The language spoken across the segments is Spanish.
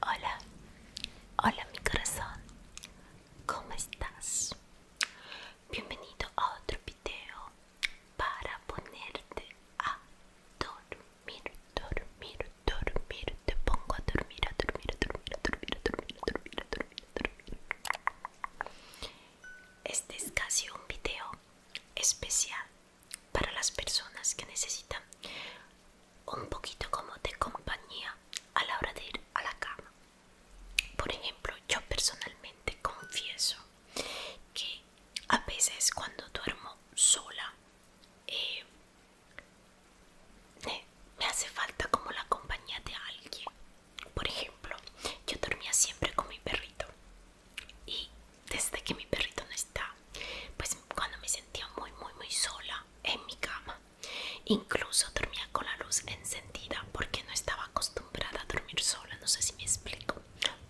Hola, hola mi corazón, ¿cómo estás? Bienvenido a otro video para ponerte a dormir, dormir, dormir. Te pongo a dormir, a dormir, a dormir, a dormir, a dormir, a dormir, a dormir, a dormir. Este es casi un video especial para las personas que necesitan un poquito como de compañía a la hora de ir a la cama. Por ejemplo, yo personalmente confieso que a veces cuando duermo sola eh, me hace falta como la compañía de alguien. Por ejemplo, yo dormía siempre con mi perrito y desde que mi perrito no está pues cuando me sentía muy muy muy sola en mi cama incluso dormía con la luz encendida porque no estaba acostumbrada a dormir sola no sé si me explico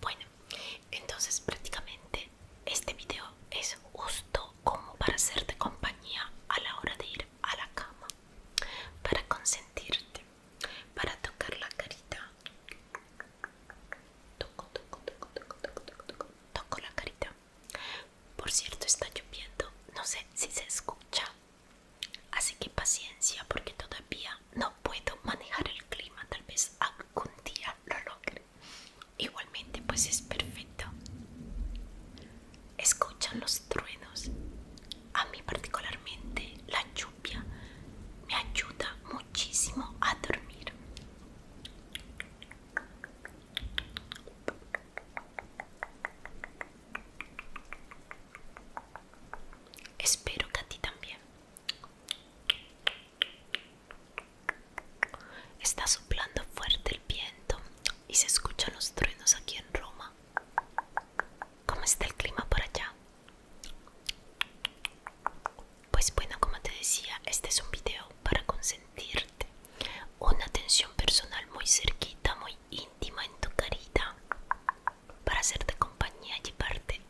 bueno entonces prácticamente este video es justo como para hacerte compañía a la hora de ir a la cama para consentirte para tocar la carita. Toco, toco, toco, toco, toco, toco, toco, la carita. Por cierto, está lloviendo. No sé si se escucha. Así que paciencia porque todavía no puedo manejar el clima. Tal vez algún día lo logre. Igualmente, pues es perfecto. Escuchan los truenos. A mí particularmente la lluvia me ayuda muchísimo a dormir espero que a ti también está soplando fuerte el viento y se escuchan los truenos aquí en Roma ¿Cómo está el clima por allá? Pues bueno, como te decía, este es un video para consentirte. Una atención personal muy cerquita, muy íntima en tu carita. Para hacerte compañía, y llevarte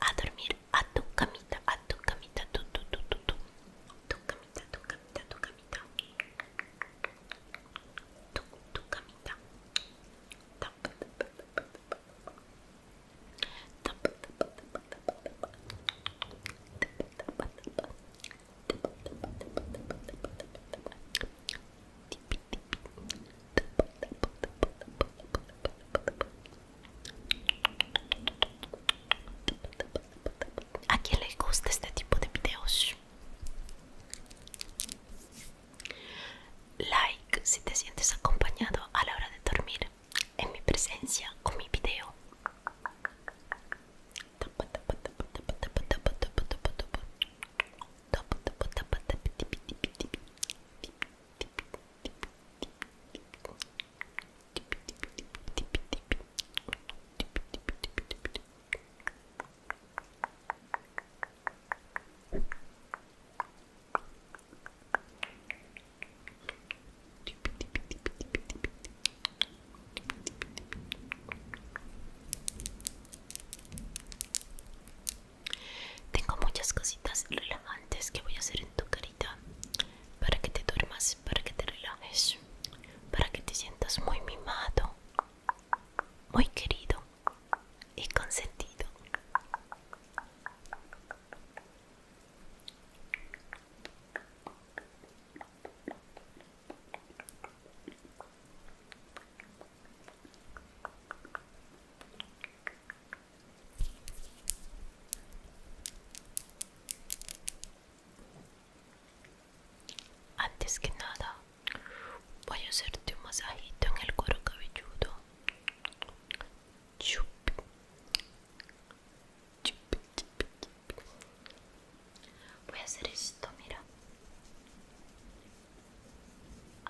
a dormir a tu camita, a tu camita, tu, tu, camita, tu camita, tu camita. Tu, tu camita. ¿A quién le gusta este tipo de videos? Like si te sientes acompañado a la hora de dormir en mi presencia o mi video. Tengo muchas cositas relevantes que voy a hacer en tu carita para que te duermas, para que te relajes, para que te sientas muy mimado, muy querido, y consentido. Antes que nada, voy a hacerte un masajito en el cuero cabelludo Chup. Voy a hacer esto, mira.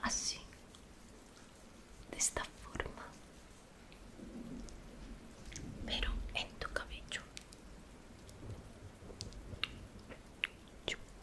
Así. De esta forma. Pero en tu cabello.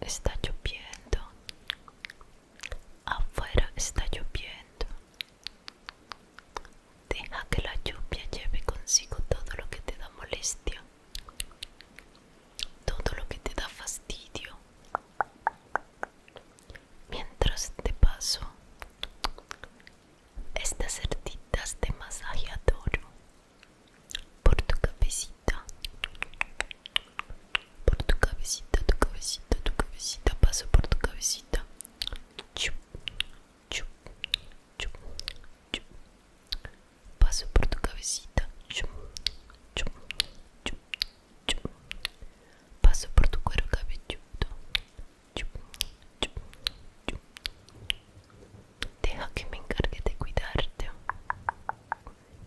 Está lloviendo. Afuera está lloviendo. Deja que la lluvia lleve consigo todo lo que te da molestia todo lo que te da fastidio mientras te paso estas cerditas de masajeador por tu cabecita por tu cabecita tu cabecita tu cabecita paso por tu cabecita chup chup chup chup Passa por tu cabecita. Chum, chum, chum, chum. Passa por tu cuero cabelludo. Chum, chum, chum. Deja que me encargue de cuidarte.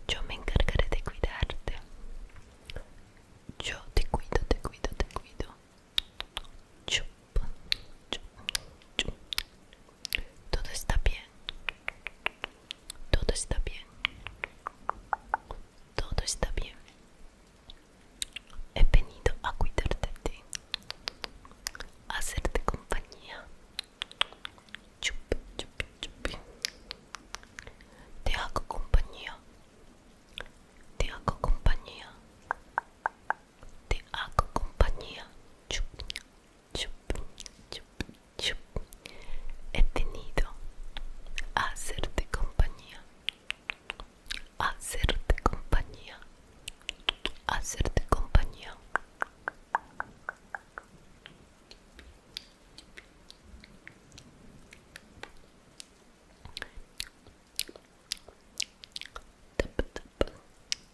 Yo me encargaré de cuidarte. Yo te cuido, te cuido, te cuido. Chup, chup, chup, Todo está bien. Todo está bien. Todo está bien. He venido a cuidarte de ti. A hacerte compañía. Chup, chup, chup. Te hago compañía. Te hago compañía. Te hago compañía. Chup, He tenido a hacerte compañía, a hacerte compañía, a hacerte compañía.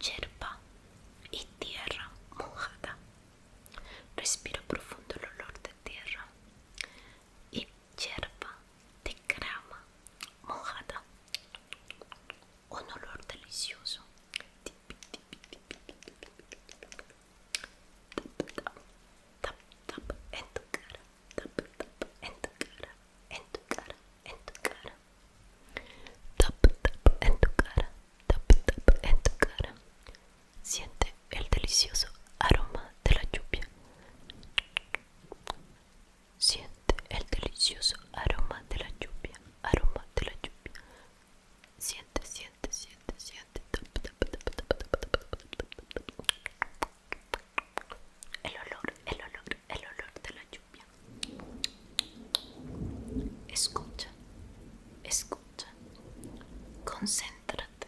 yerba y tierra mojada. Respiro profundo el olor de tierra y yerba de grama mojada. Un olor delicioso. Tap, tap, tap, tap, en tu cara, en tu cara, tap tap en tu cara tap tap en tu cara siente el delicioso aroma de la lluvia siente el delicioso aroma de la lluvia aroma de la lluvia siente siente siente siente tap tap tap tap el olor el olor el olor de la lluvia Escucha, escucha, concéntrate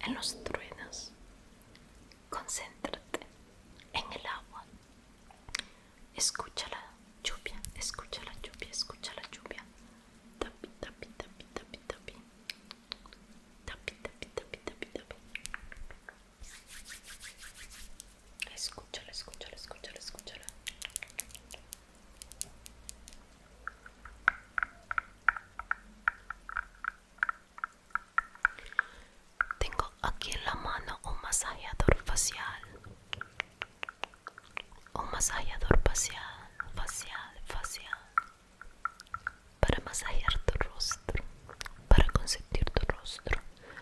en los truenos, concéntrate en el agua, escucha la lluvia, escucha la lluvia, escucha la lluvia, tapi, tapi, tapi, tapi, tapi, tapi, tapi, tapi, tapi. Escúchala, escúchala, escúchala Tengo aquí en la mano un masajeador facial. Un masajeador facial, facial, facial. Para masajear tu rostro, para consentir tu rostro,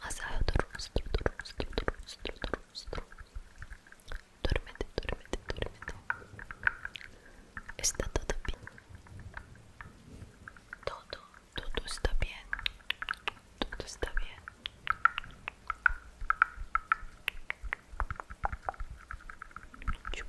masaje tu rostro, tu rostro, tu rostro, tu rostro. Duérmete, duérmete, duérmete. Está todo bien. Todo, todo está bien. Todo está bien. Chup.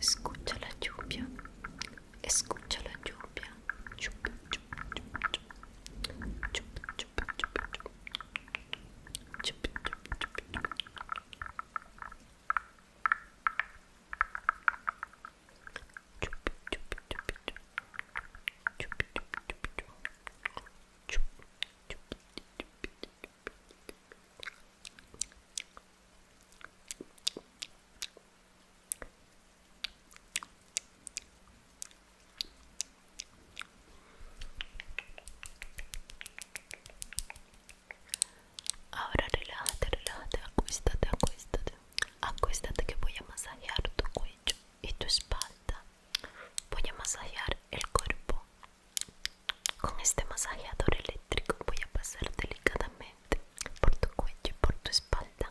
Escucha la lluvia, escucha la lluvia. Ahora relájate, relájate, acuéstate, acuéstate. Acuéstate que voy a masajear tu cuello y tu espalda. Voy a masajear el cuerpo. Con este masajeador eléctrico voy a pasar delicadamente por tu cuello y por tu espalda.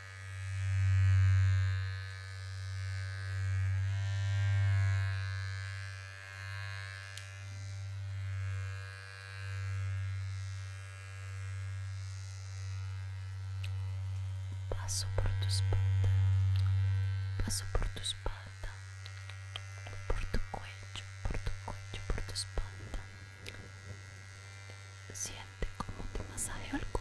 Passo por tu espalda, passo por tu espalda, por tu coelho, por tu coelho, por tu espalda. Siente como te masajeo el cuerpo.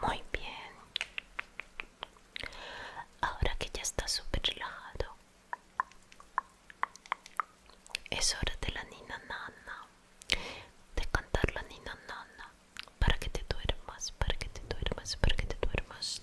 Muy bien. Ahora que ya está súper relajado, es hora de la nina nana, de cantar la nina nana para que te duermas, para que te duermas, para que te duermas.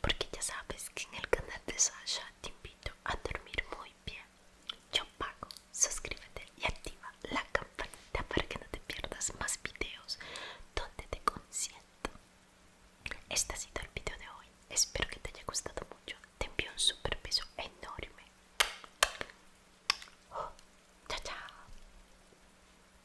Porque ya sabes que en el canal de Sasha te invito a dormir muy bien. Yo pago, suscríbete y activa la campanita para que no te pierdas más videos donde te consiento. Este ha sido el video de hoy. Espero que te haya gustado mucho. Te envío un super beso enorme. Oh, chao, chao.